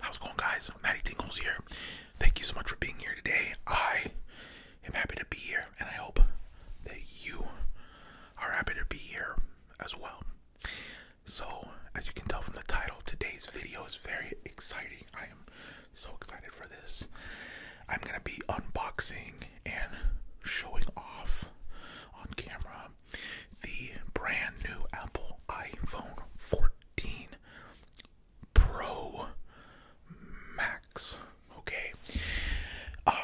How's going, guys? Matty Tingles here. Thank you so much for being here today. I am happy to be here, and I hope that you are happy to be here as well. So, as you can tell from the title, today's video is very exciting. I am so excited for this. I'm going to be unboxing and showing off on camera the brand new Apple iPhone 14 Pro Max. Okay. Um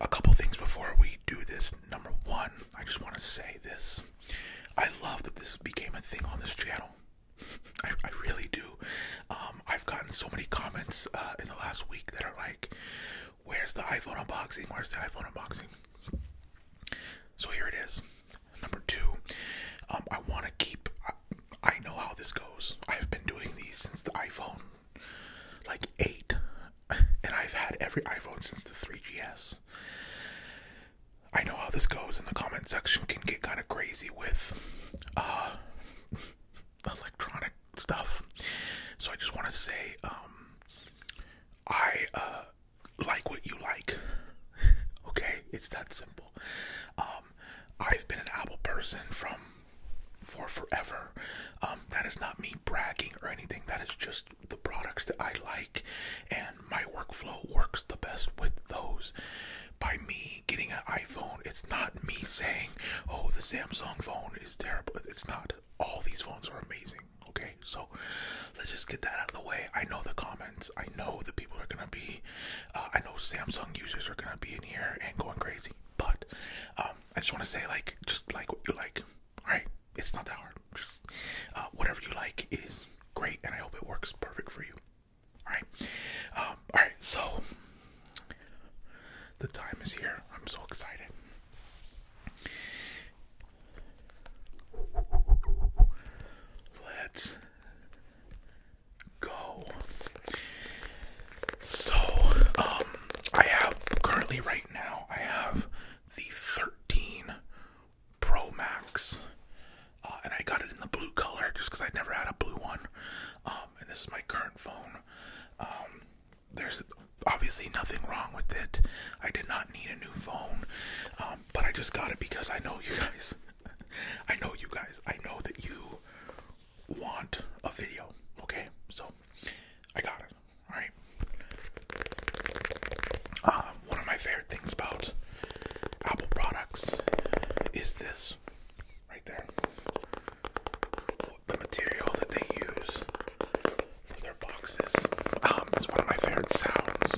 a couple things before we do this. Number 1, I just want to say this. I love that this became a thing on this channel. I, really do. Um, I've gotten so many comments uh, in the last week that are like, "Where's the iPhone unboxing? Where's the iPhone unboxing?" So here it is. Number two, um, I want to keep. I know how this goes. I have been doing these since the iPhone, like eight, and I've had every iPhone since the 3GS. I know how this goes, and the comment section can get kind of crazy with uh, electronic stuff. So I just want to say, um, I uh, like what you like. okay, it's that simple. Um, I've been an Apple person from for forever. Um, that is not me bragging or anything. That is just the products that I like and my workflow works the best with those. By me getting an iPhone, it's not me saying, oh, the Samsung phone is terrible. It's not. All these phones are amazing. Okay, so let's just get that out of the way. I know the comments. I know the people are gonna be. Uh, I know Samsung users are gonna be in here and going crazy. But um, I just want to say, like, just like what you like. All right, it's not that hard. Just uh, whatever you like is great, and I hope it works perfect for you. All right, um, all right. So the time is here. I'm so excited. Let's go. So, um, I have currently right now. I have the thirteen Pro Max, uh, and I got it in the blue color just because I never had a blue one. Um, and this is my current phone. Um, there's obviously nothing wrong with it. I did not need a new phone, um, but I just got it because I know you guys. I know you guys. I know that you want a video. Okay, so I got it. All right one of my favorite things about Apple products is this right there. The material that they use for their boxes. Um, it's one of my favorite sounds.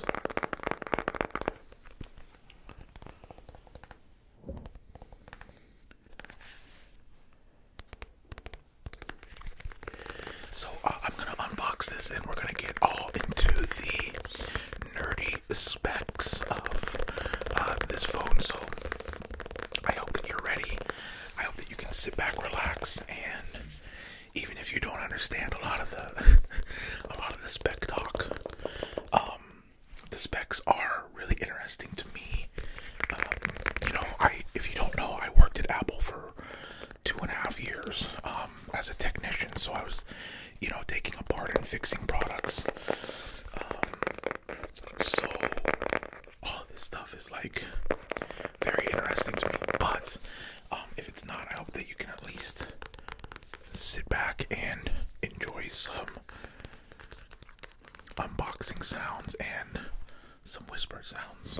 So uh, I'm gonna unbox this, and we're gonna get all into the nerdy specs of uh, this phone. So I hope that you're ready. I hope that you can sit back, relax, and even if you don't understand a lot of the a lot of the spec talk, um, the specs are really interesting to me. Um, you know, I if you don't know, I worked at Apple for two and a half years um, as a technician, so I was you know, taking apart and fixing products. Um, so all this stuff is like very interesting to me. But um, if it's not, I hope that you can at least sit back and enjoy some unboxing sounds and some whisper sounds.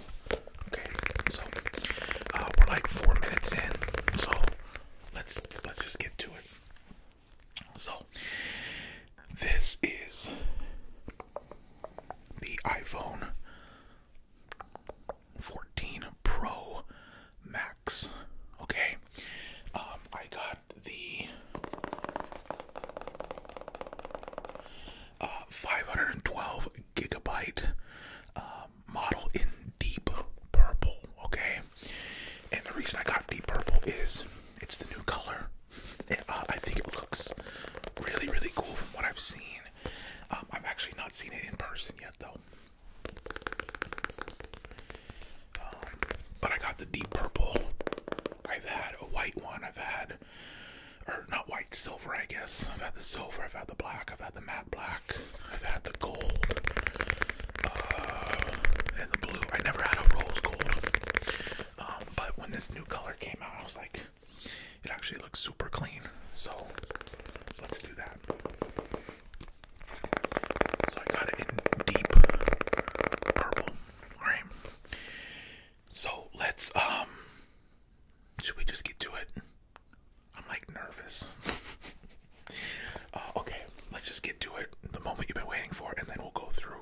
Okay, so uh, we're like four minutes in, so let's let's just get to it. So this is the iPhone 14 Pro Max. Okay, um, I got the uh, 512 gigabyte uh, model in deep purple, okay? And the reason I got deep purple is it's the new color. Uh, I think it looks really, really cool from what I've seen. Um, I've actually not seen it in person yet, though. Um, but I got the deep purple. I've had a white one. I've had, or not white, silver, I guess. I've had the silver. I've had the black. I've had the matte black. I've had the gold uh, and the blue. I never had a rose gold. Um, but when this new color came out, I was like, it actually looks super clean. So let's do that. I got it in deep purple. Alright. So let's um should we just get to it? I'm like nervous. Uh, okay, let's just get to it. The moment you've been waiting for, and then we'll go through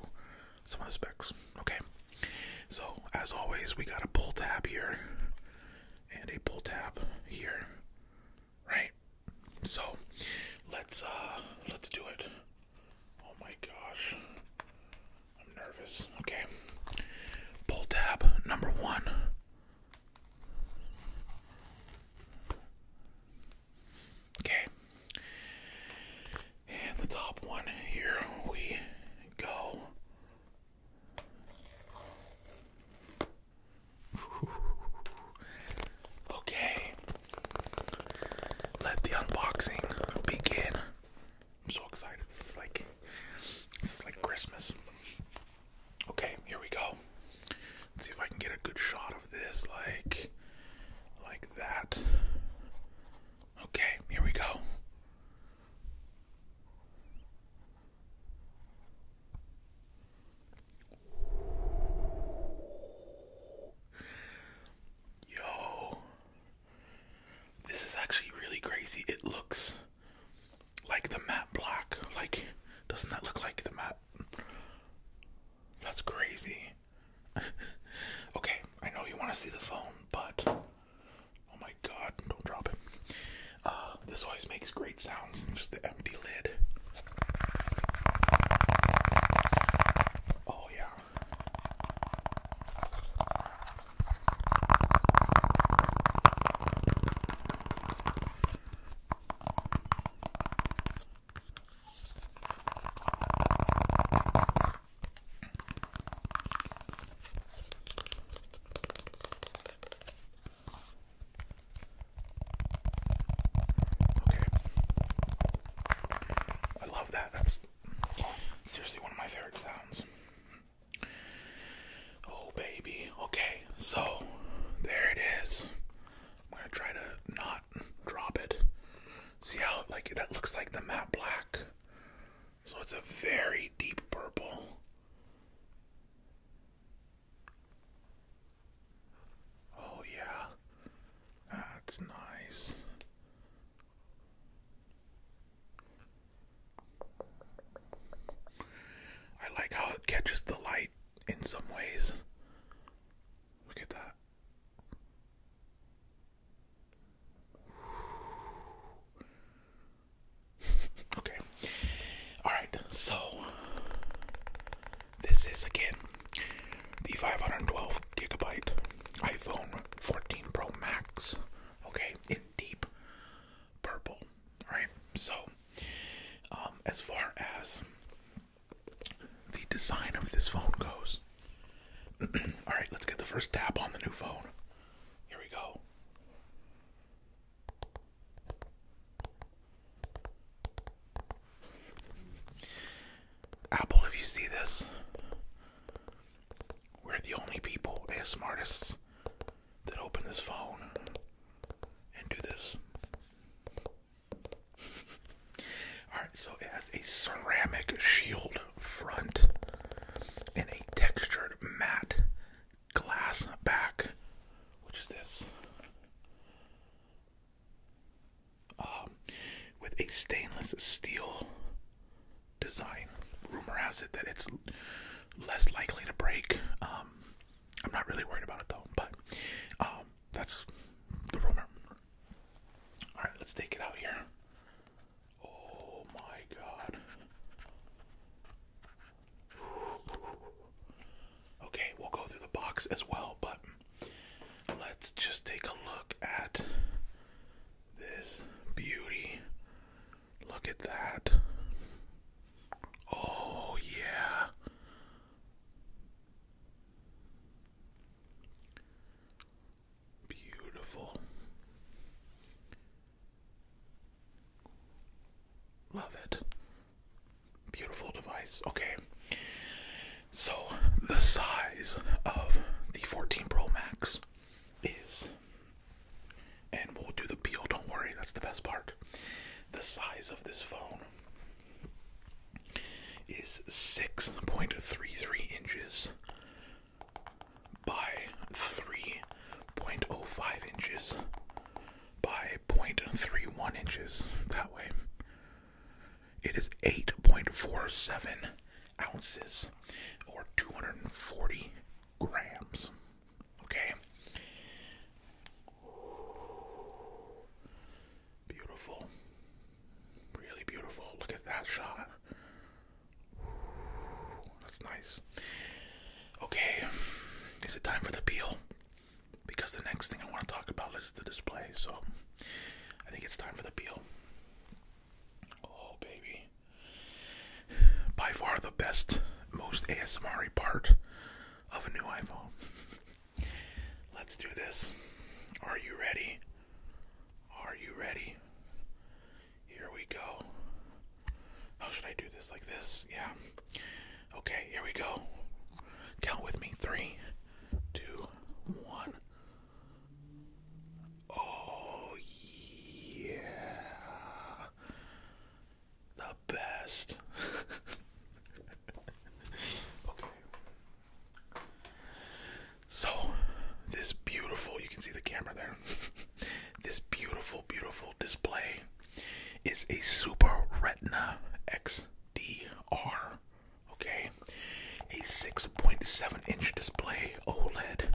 some of the specs. Okay. So as always, we got a pull tab here and a pull tab here, right? So let's uh let's do it. Oh my gosh. I'm nervous. Okay. Pull tab number one. Okay. And the top one here we go. Okay. Let the unboxing begin. I'm so excited. This is like this is like Christmas. Okay, here we go. Let's see if I can get a good shot of this, like, like that. Okay, here we go. Yo, this is actually really crazy. It looks like the matte black. Like, doesn't that look like the matte? That's crazy. okay, I know you want to see the phone, but oh my god, don't drop it. Uh, this always makes great sounds. Just the empty lid. Oh, yeah. I love that. That's seriously one of my favorite sounds. Oh, baby. Okay, so there it is. I'm gonna try to not drop it. See how, like, that looks like the matte black. So it's a very deep purple. Oh, yeah. That's nice. I like how it catches the light in some ways. Look at that. okay. Alright, so this is again the 512 gigabyte iPhone 14 Pro Max. Okay, in deep purple. Alright, so um, as far as the design of this phone goes, all right, let's get the first tap on the new phone. Here we go. Apple, if you see this, we're the only people, the smartest than open this phone and do this. Alright, so it has a ceramic shield front and a textured matte glass back, which is this, um, with a stainless steel design. Rumor has it that it's less likely to break. Um, I'm not really worried about it though, but um, that's the rumor. All right, let's take it out here. Oh my god. Okay, we'll go through the box as well, but let's just take a look at this beauty. Look at that. Oh, yeah. Beautiful. Love it. Beautiful device. Okay. So, the size of the 14 Pro Max is and we'll do the peel. Don't worry, that's the best part. The size of this phone is 6.33 inches by 3.05 inches by 0.31 inches. That way, it is 8.47 ounces or 240 grams. Okay. Beautiful. Really beautiful. Look at that shot. That's nice. Okay. Is it time for the peel? Because the next thing I want to talk about is the display. So I think it's time for the peel. Oh, baby by far the best, most ASMR part of a new iPhone. Let's do this. Are you ready? Are you ready? Here we go. How should I do this? Like this? Yeah. Okay, here we go. Count with me. Three, two, one. Oh, yeah the best. okay. So, this beautiful, you can see the camera there. this beautiful, beautiful display is a Super Retina XDR. Okay. A 6.7 inch display OLED.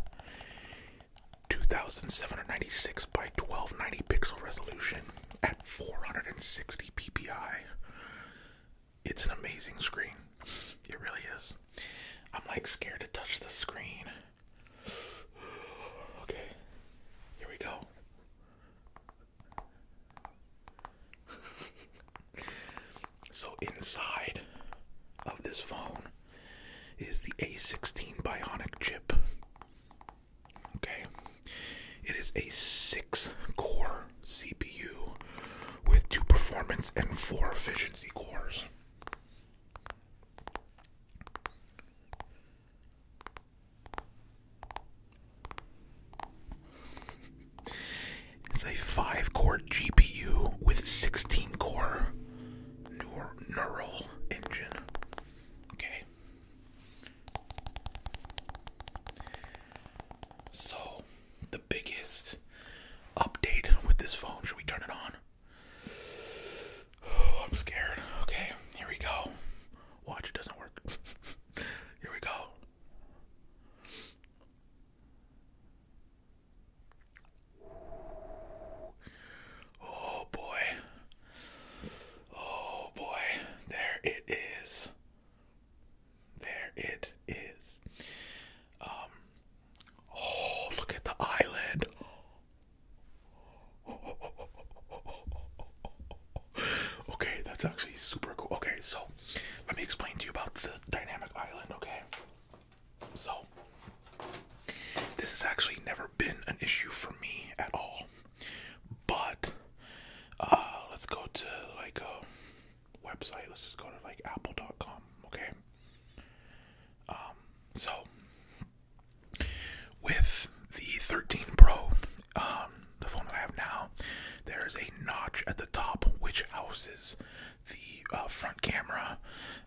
2796 by 1290 pixel resolution at 460 ppi. It's an amazing screen. It really is. I'm like scared to touch the screen. Okay, here we go. so, inside of this phone is the A16 Bionic chip. Okay, it is a six core CPU with two performance and four efficiency cores. It's a five core GPU with 16 core neural engine. Okay. So, the biggest update with this phone, should we turn it on? I'm scared. Okay, here we go. Watch, it doesn't work. here we go. Oh boy. Oh boy. There it is. There it is. Um Oh, look at the eyelid. Okay, that's actually super cool. Okay, so let me explain to you about the dynamic island, okay? So this has actually never been an issue for me at all. But uh, let's go to like website. Let's just go to like apple.com, okay? Um, so with the 13 Pro, um, the phone that I have now, there is a notch at the top which houses the uh, front camera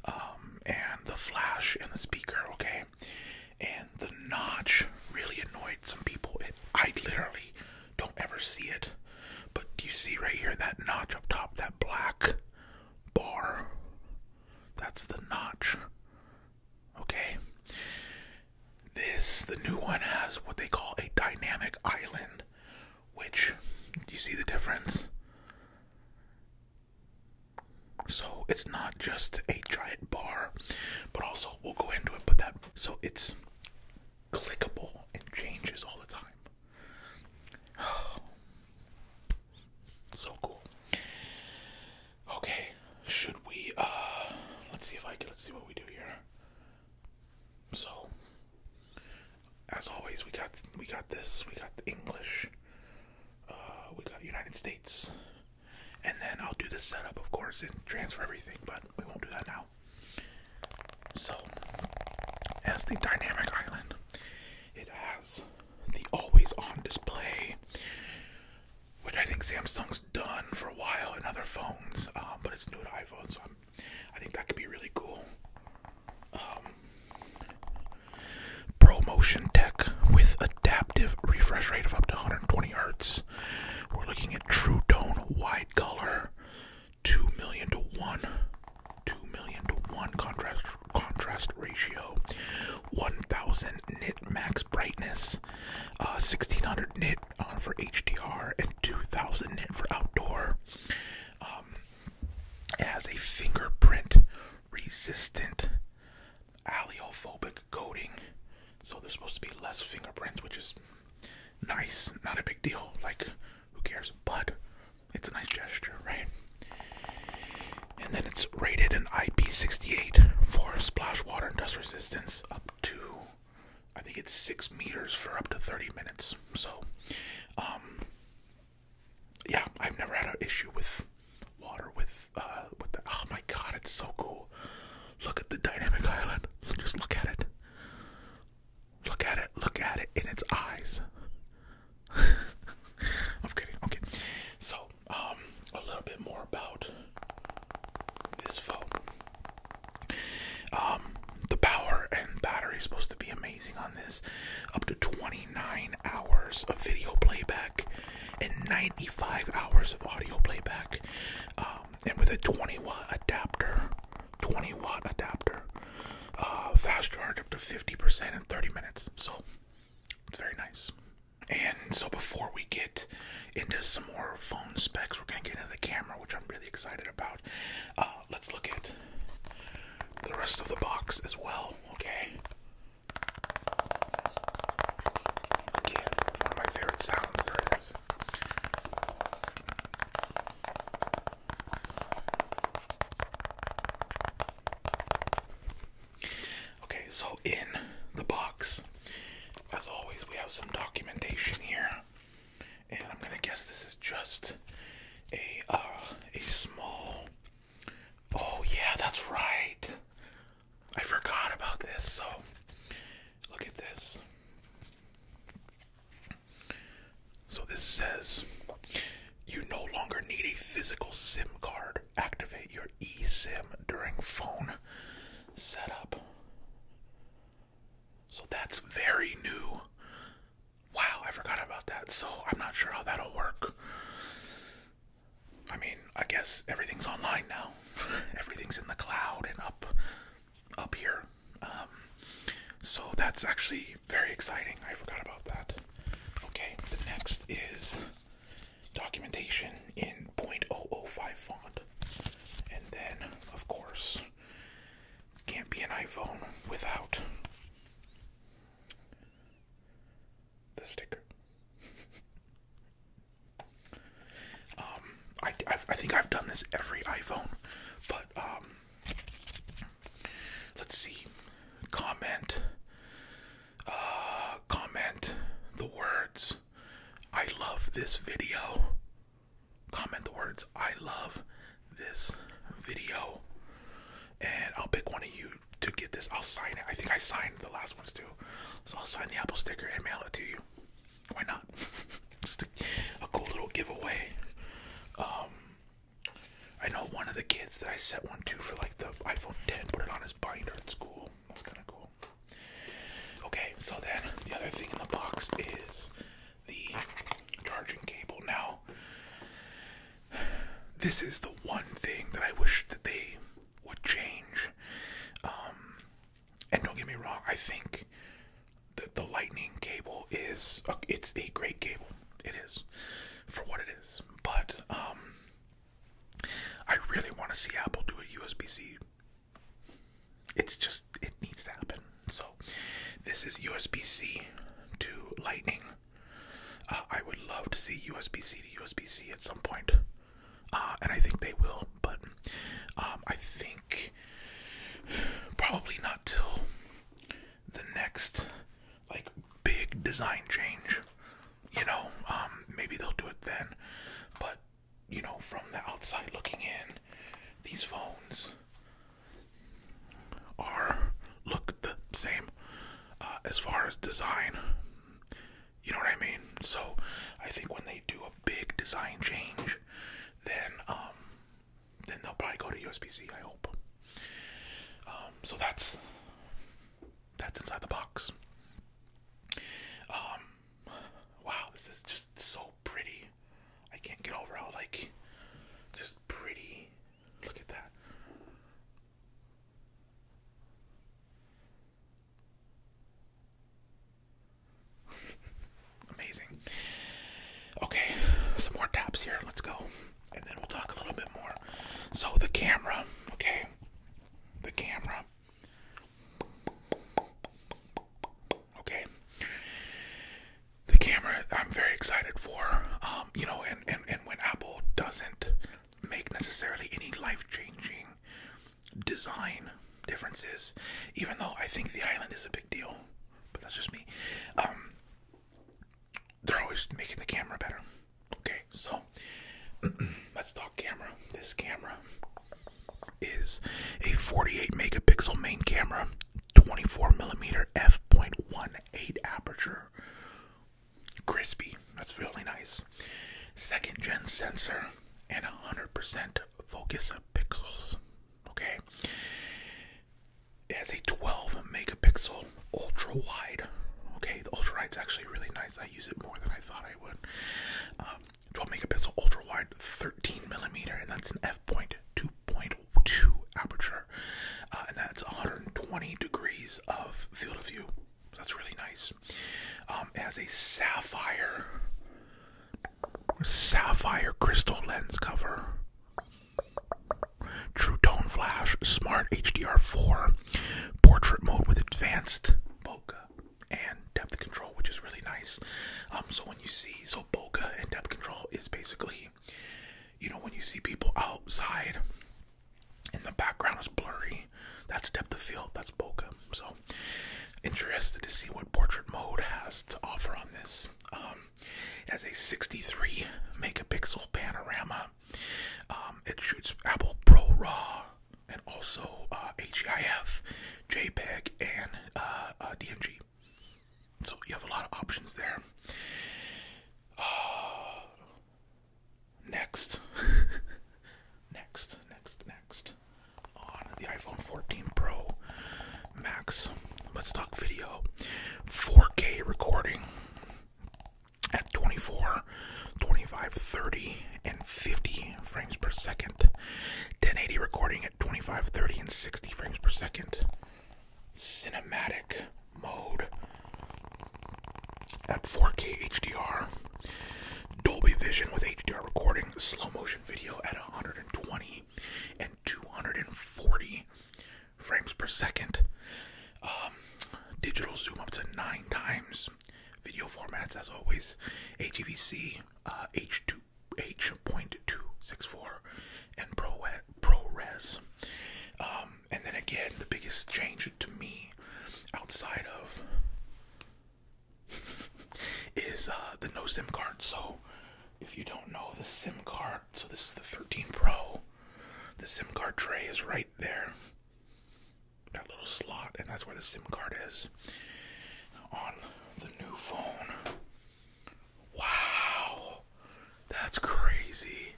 um, and the flash and the speaker. Okay, and the notch really annoyed some people. I literally don't ever see it. But do you see right here that notch up top, that black bar? That's the notch. Okay? This, the new one, has what they call a dynamic island, which, do you see the difference? So it's not just a giant bar, but also we'll go into it. But that so it's clickable and changes all the time. so cool. Okay, should we? Uh, let's see if I can. Let's see what we do here. So, as always, we got we got this. We got the English. Uh, we got United States. And then I'll do the setup, of course, and transfer everything, but we won't do that now. So, as the dynamic island, it has the always on display, which I think Samsung's done for a while in other phones, um, but it's new to iPhone, so i think that could be really cool. Um, ProMotion Tech with adaptive refresh rate of up to 120 hertz. We're looking at true tone wide color, 2 million to 1, 2 million to 1 contrast contrast ratio, 1000 nit max brightness, 1600 uh, nit on for HDR and 2000 nit for outdoor. Um, it has a fingerprint resistant alleophobic coating, so there's supposed to be less fingerprints, which is nice, not a big deal, like who cares, but it's a nice gesture, right? And then it's rated an IP68 for splash water and dust resistance up to I think it's six meters for up to 30 minutes. So, um, yeah, I've never had an issue with water with uh with the oh my god, it's so cool. Look at the dynamic island. Just look at it. Look at it. Look at it in its eyes. I'm kidding. Okay. So, um a little bit more about this phone. Um the power and battery is supposed to be amazing on this. Up to 20 29 hours of video playback and 95 hours of audio playback, um, and with a 20 watt adapter, 20 watt adapter, uh, fast charge up to 50% in 30 minutes. So it's very nice. And so before we get into some more phone specs, we're gonna get into the camera, which I'm really excited about. Uh, let's look at the rest of the box as well. Okay. Again, one of my favorite sounds there is. Okay, so in the box, as always, we have some documentation here, and I'm gonna guess this is just a uh, a small Oh, yeah, that's right. I forgot about this. So, look at this. So, this says you no longer need a physical SIM card. Activate your eSIM during phone setup. So, that's very new. Wow, I forgot about that. So, I'm not sure how that'll work. I mean, I guess everything's online now. everything's in the cloud and up up here. Um, so that's actually very exciting. I forgot about that. Okay, the next is documentation in point oh oh five font. And then, of course, can't be an iPhone without the sticker. um, I, I, think I've done this every iPhone, but um, let's see. Comment, uh, comment the words. I love this video. Comment the words. I love this video, and I'll pick one of you to get this. I'll sign it. I think I signed the last ones too. So I'll sign the Apple sticker and mail it to you. Why not? Just a, cool little giveaway. Um, I know one of the kids that I sent one to for like the iPhone 10 put it on his binder at school. That's kind of cool. Okay, so then the other thing in the box is the charging cable. Now, this is the one thing that I wish that they would change. Um, and don't get me wrong, I think that the lightning cable is it's a great cable. It is for what it is. But um, I really want to see Apple do a USB-C. It's just it needs to happen. So this is USB-C to lightning. Uh, I would love to see USB-C to USB-C at some uh, and I think they will. But um, I think probably not till the next like big design change. You know, um, maybe they'll do it then. But you know, from the outside looking in, these phones are look the same. Uh, as far as design. You know what I mean? So I think when they do a big design change, then um, then they'll probably go to USB-C. I hope. Um, so that's that's inside the box. Um, wow, this is just so pretty. I can't get over how like just pretty. Look at that. Amazing. Okay, some more taps here. Let's go. And then we'll talk a little bit more. So, the camera, okay? The camera. Okay. The camera, I'm very excited for. Um, you know, and, and, and when Apple doesn't make necessarily any life changing design differences, even though I think the island is a big deal, but that's just me. Um, they're always making the camera better. Okay, so let's talk camera. This camera is a 48 megapixel main camera, 24 millimeter f f.18 aperture, crispy. That's really nice. Second gen sensor and 100% focus pixels. Okay. It has a 12 megapixel ultra wide. Okay, the ultra wide's actually really nice. I use it more than I thought I would. Um, 12 megapixel ultra wide, 13 millimeter, and that's an f point 2.2 aperture, uh, and that's 120 degrees of Field of View. That's really nice. Um, it has a sapphire, sapphire crystal lens cover. True Tone Flash, Smart HDR4, Portrait Mode with Advanced Bokeh and Depth Control, which is really nice. Um, so when you see, so Bokeh and Depth Control is basically, you know, when you see people outside and the background is blurry. That's depth of field. That's bokeh. So interested to see what portrait mode has to offer on this. Um, it has a 63 megapixel panorama. Um, it shoots Apple Pro RAW and also uh, HEIF, JPEG, and uh, uh, DNG. So you have a lot of options there. Uh, Next, next, next, next. On the iPhone 14 Pro Max, let's talk video. 4K recording at 24, 25, 30, and 50 frames per second. 1080 recording at 25, 30, and 60 frames per second. Cinematic mode at 4K HDR, Dolby Vision with HDR recording, slow motion video at 120 and 240 frames per second, um, digital zoom up to nine times, video formats as always, HEVC, H2, H.264, and ProRes and then again, the biggest change to me outside of is uh, the no SIM card. So, if you don't know the SIM card, so this is the 13 Pro. The SIM card tray is right there. That little slot, and that's where the SIM card is on the new phone. Wow, that's crazy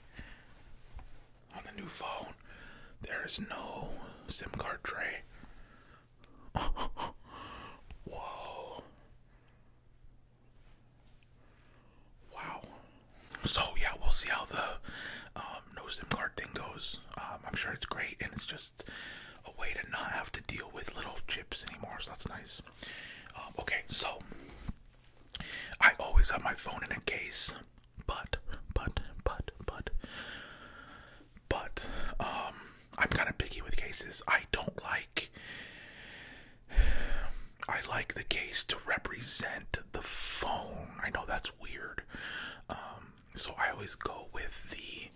on the new phone, there is no SIM card tray. Whoa. Wow. So, yeah, we'll see how the um, no SIM card thing goes. Um, I'm sure it's great, and it's just a way to not have to deal with little chips anymore, so that's nice. Um, okay, so I always have my phone in a case but, but, but, but, but, um, I'm kind of picky with cases. I don't like. I like the case to represent the phone. I know that's weird. Um, so I always go with the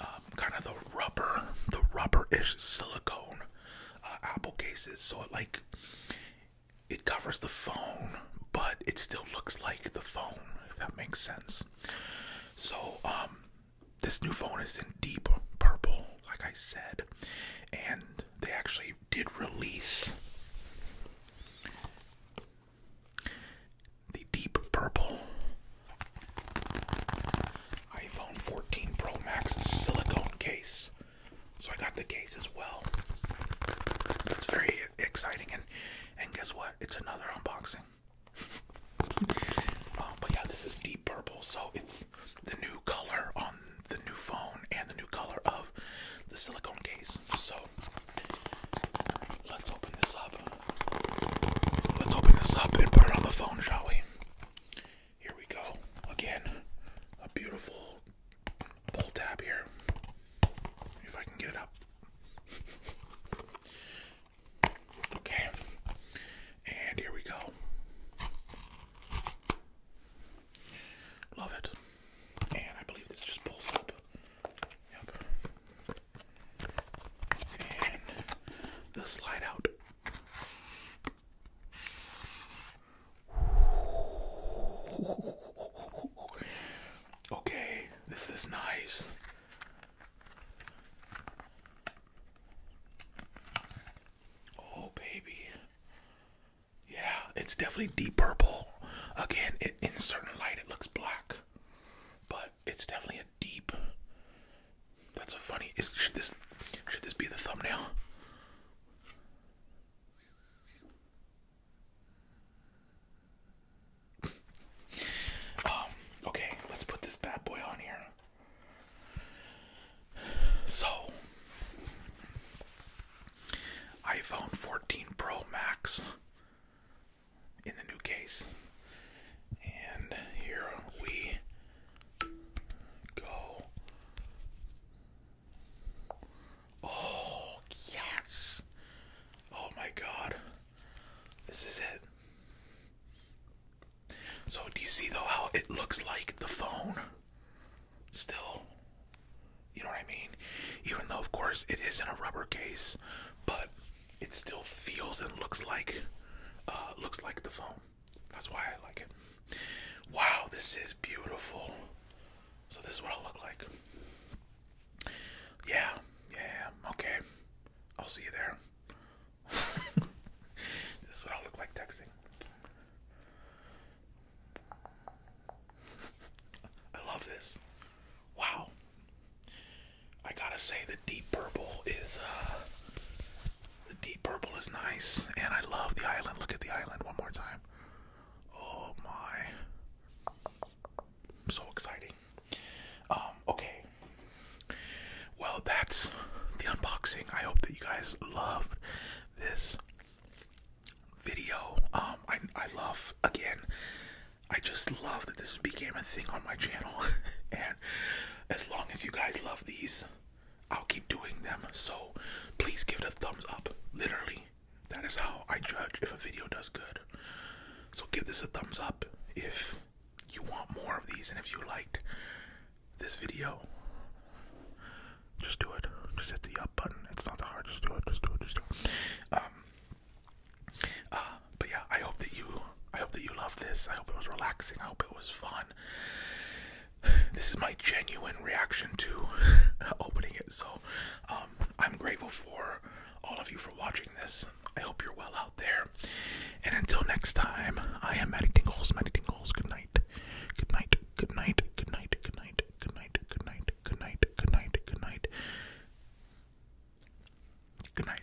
um, kind of the rubber, the rubber ish silicone uh, Apple cases. So like it covers the phone, but it still looks like the phone, if that makes sense. So, um, this new phone is in deep purple, like I said, and they actually did release the deep purple iPhone 14 Pro Max silicone case. So I got the case as well. It's very exciting, and and guess what? It's another unboxing. Um, but yeah, this is deep purple, so it's the new color on the new phone and the new color of the silicone case. So let's open this up. Let's open this up and put it on the phone, shall we? Here we go. Again, a beautiful pull tab here if I can get it up. okay, and here we go. Love it, and I believe this just pulls up. Yep, and the slide out. Okay, this is nice. Oh, baby. Yeah, it's definitely deep purple. Again, in certain light, it looks black, but it's definitely a deep. That's a funny. should this be the thumbnail? Um, okay, let's put this bad boy on here. So, iPhone 14 Pro Max in the new case. And here we go. Oh, yes. Oh my god. This is it. So, do you see though how it looks like the phone? Still. You know what I mean? Even though, of course, it is in a rubber case, but it still feels and looks like uh, looks like the phone. That's why I like it. Wow, this is beautiful. So this is what I'll look like. Yeah, yeah, okay. I'll see you there. this is what I'll look like texting. I love this. Wow. I gotta say the deep purple is uh the deep purple is nice and I love the island. Look at the island one more time. Oh my. So exciting. Um, okay. Well, that's the unboxing. I hope that you guys loved this video. Um, I, I love, again, I just love that this became a thing on my channel. and as long as you guys love these, I'll keep doing them. So please give it a thumbs up. Literally, that is how I judge if a video does good. So give this a thumbs up if you want more of these and if you liked this video. Just do it. Just hit the up button. It's not that hard. do it. Just do it. Just do it. Um. Uh, but yeah, I hope that you. I hope that you love this. I hope it was relaxing. I hope it was fun this is my genuine reaction to opening it. So um, I'm grateful for all of you for watching this. I hope you're well out there. And until next time, I am Maddie Tingles. Maddie Tingles. Good night. Good night. Good night. Good night. Good night. Good night. Good night. Good night. Good night. Good night. Good night.